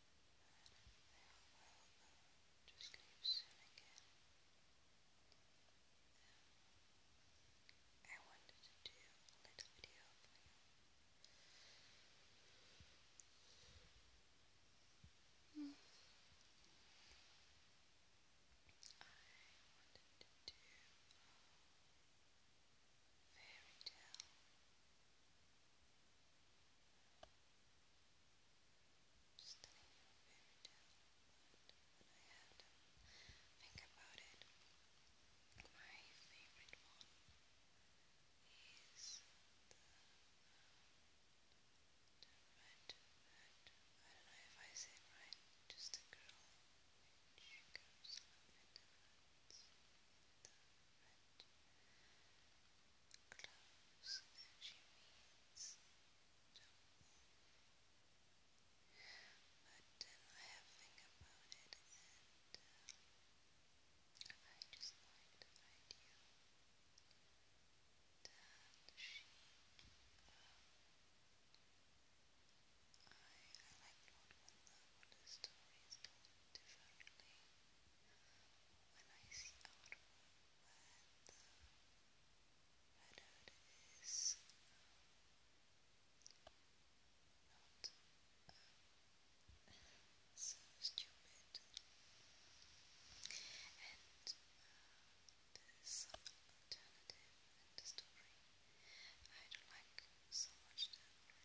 Very well, go to sleep soon again. Um, I wanted to do a little video for you. Mm. I wanted to do um, fairy tale. Just telling you fairy tale, but I had to think about it, my favorite one is the, I don't know if I say it right, just a girl which goes up the woods. Close she reads. But um, I have think about it and I just like the idea that she, I, I liked what, when the, when differently when I see out where the redhead is not so stupid and this alternative in I don't like so much the original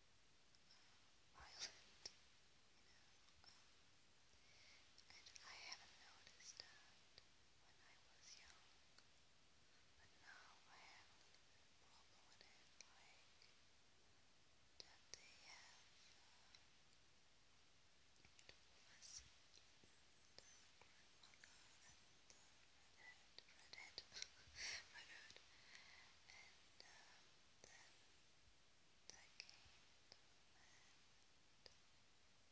violent, you I haven't noticed when I was young, but now I have a problem with it, like that they have uh, the was the grandmother and the redhead, redhead, redhead, and um, then decade and has opened the world's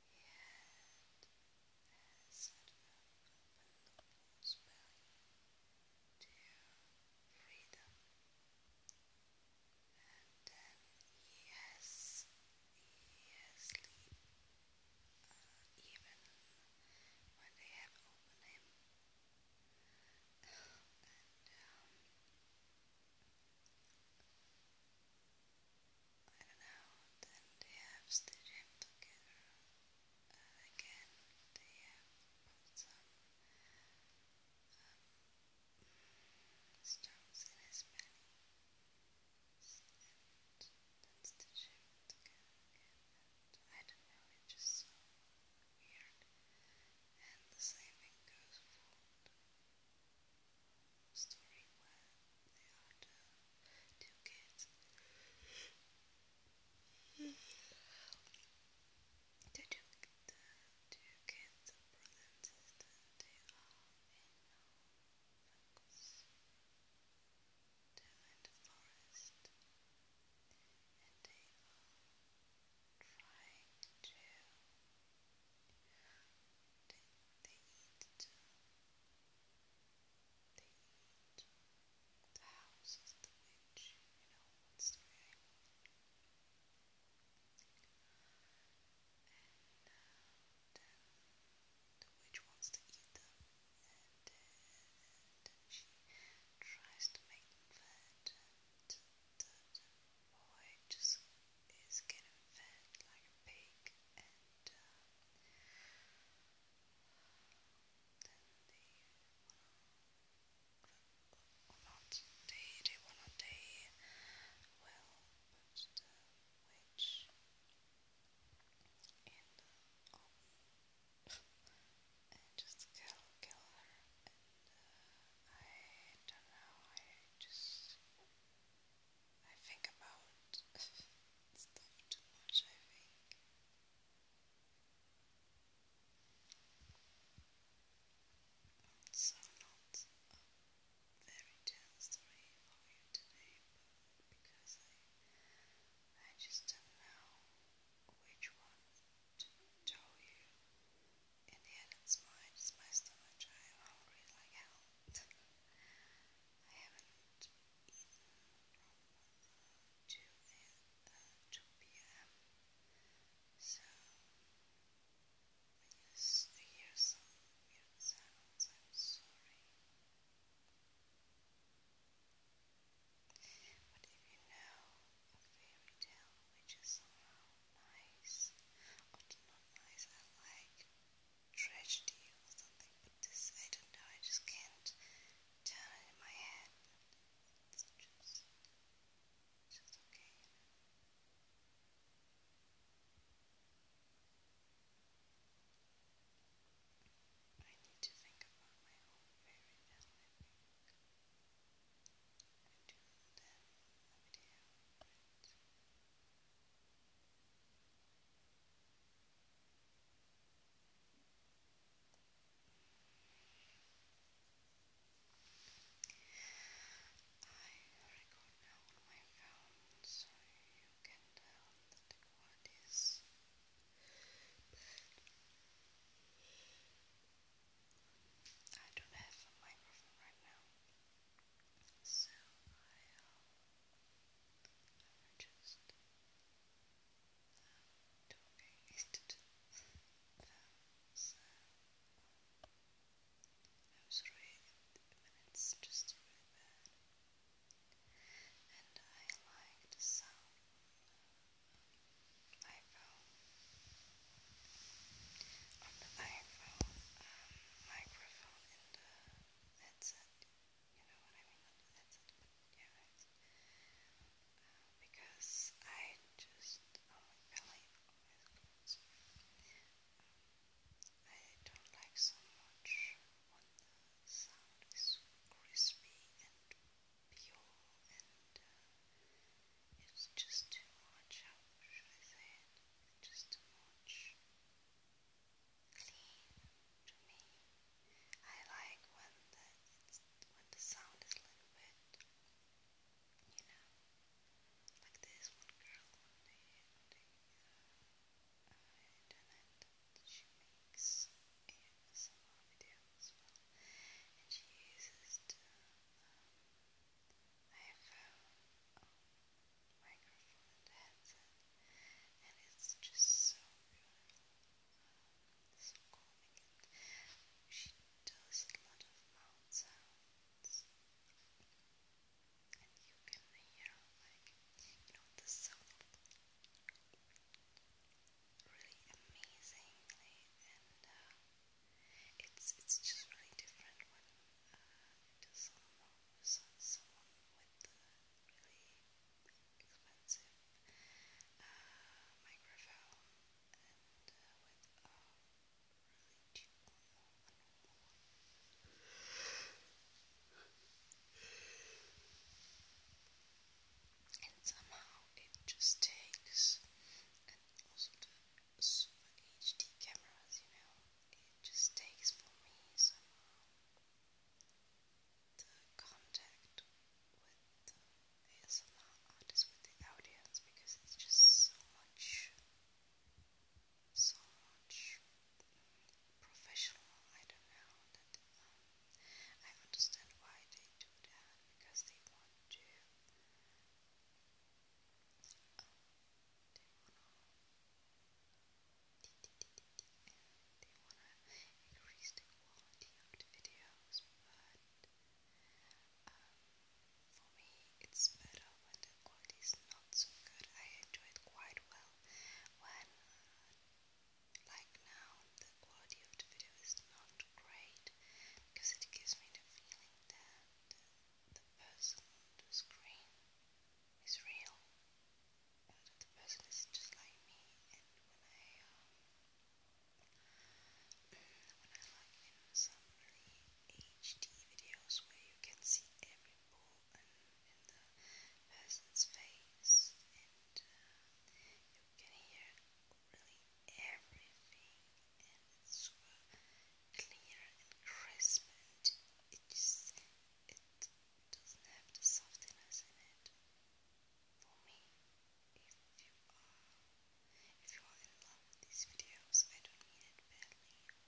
to freedom and then he has he has sleep even when they have opened him um, I don't know, then they have stitched together uh, again, they have put some stones in his belly stitched him together I don't know, it just weird, and the same thing goes for story where they are the two kids. The two, the two kids, brother and sister, they are in no focus. in the forest, and table, to they, eat too. They eat the house is the witch, you know what's the name? And the witch wants to eat them and, and, she tries to make them fat and, the boy just is getting fat like a pig and uh, then they or not they, they wanna day well but uh, the and just kill, kill her. And uh, I don't know, I just. I think about stuff too much, I think. So, not a very tell story for you today, but because I, I just don't know which one to you. In the end, it's mine, it's my stomach. I am hungry like hell. I haven't eaten from 2 p.m. So, when you hear some weird sounds, I'm sorry. But if you know a fairy tale which is somehow nice, or not nice, I like tragedy or something, but this I don't know, I just can't turn it in my head. it's just, just okay. I need to think about my own very best, I do then a video of I record now on my phone so you can tell that the but I don't have a microphone right now, so i um, just um, talking instead of um, so, um, I was reading minutes just really bad and I like the sound of the iPhone microphone in the headset, you know what I mean? because I just, don't like so much when the sound is crispy and pure and uh, it's just too much, how should I say it? Just too much clean to me. I like when the, it's, when the sound is a little bit, you know, like this one girl on the, on the uh, she makes ASMR videos as well, and she uses to, um, microphone and headset, and it's just so beautiful, um, so calming. she does a lot of mouth sounds and you can hear like you know the sound really amazingly and it's it's just really different when uh, it is someone someone with uh, really expensive microphone and with a really cheap and somehow it just takes, and also the super HD cameras, you know, it just takes for me somehow contact with the ASMR artists, with the audience, because it's just so much so much professional. I don't know that I understand why they do that because they want to. Um, they wanna increase the quality of the videos, but um, for me, it's better when the quality is not so good. I enjoy it quite well when, uh, like now, the quality of the video is not great because it gives me the feeling that the, person on the screen is real, and the person is just like me. HD videos where you can see every pore in, in the person's face and uh, you can hear really everything and it's super clear and crisp and it just it doesn't have the softiness in it. For me, if you are if you are in love with these videos, I don't mean it badly.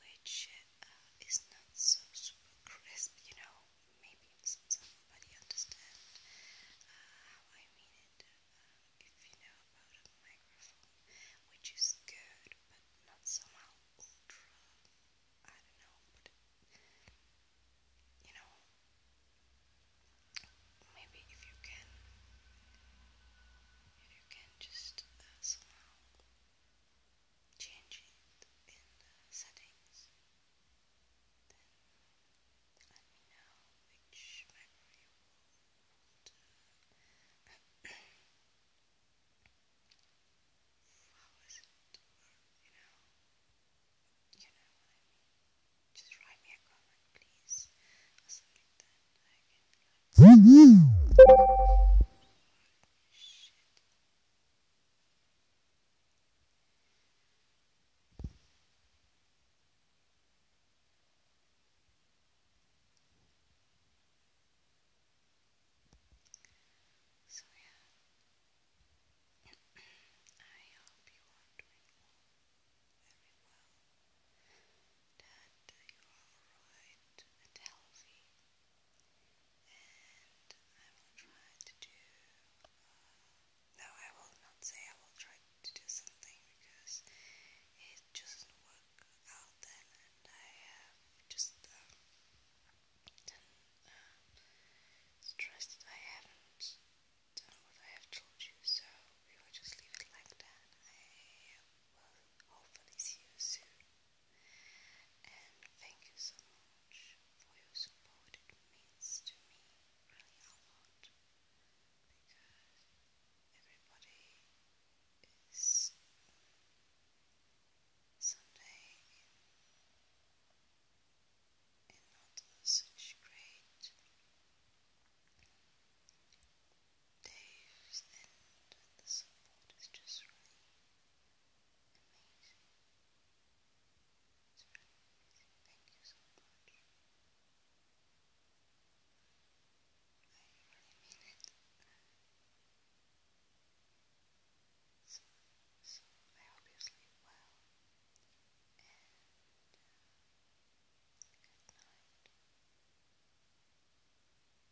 which uh, is not so super crisp, you know. Maybe somebody understand uh, how I mean it. Uh, if you know about a microphone, which is good, but not somehow ultra. I don't know, but you know, maybe if you can, you can just somehow change it in the settings, then let me know which macro you want how is it you know, you know what I mean. Just write me a comment, please, or something that I so, yeah, I hope you are doing well, very well, that you are alright and healthy, and uh, no, I will not say I will try to do something because it just doesn't work out then, and I have just um, uh, I haven't done what I have told you, so we will just leave it like that. I will hopefully see you soon. And thank you so much for your support. It means to me really a lot because everybody is someday in, not such great those end the support is just really amazing. Thank you so much. I really mean it. So, I hope well. And uh, good night.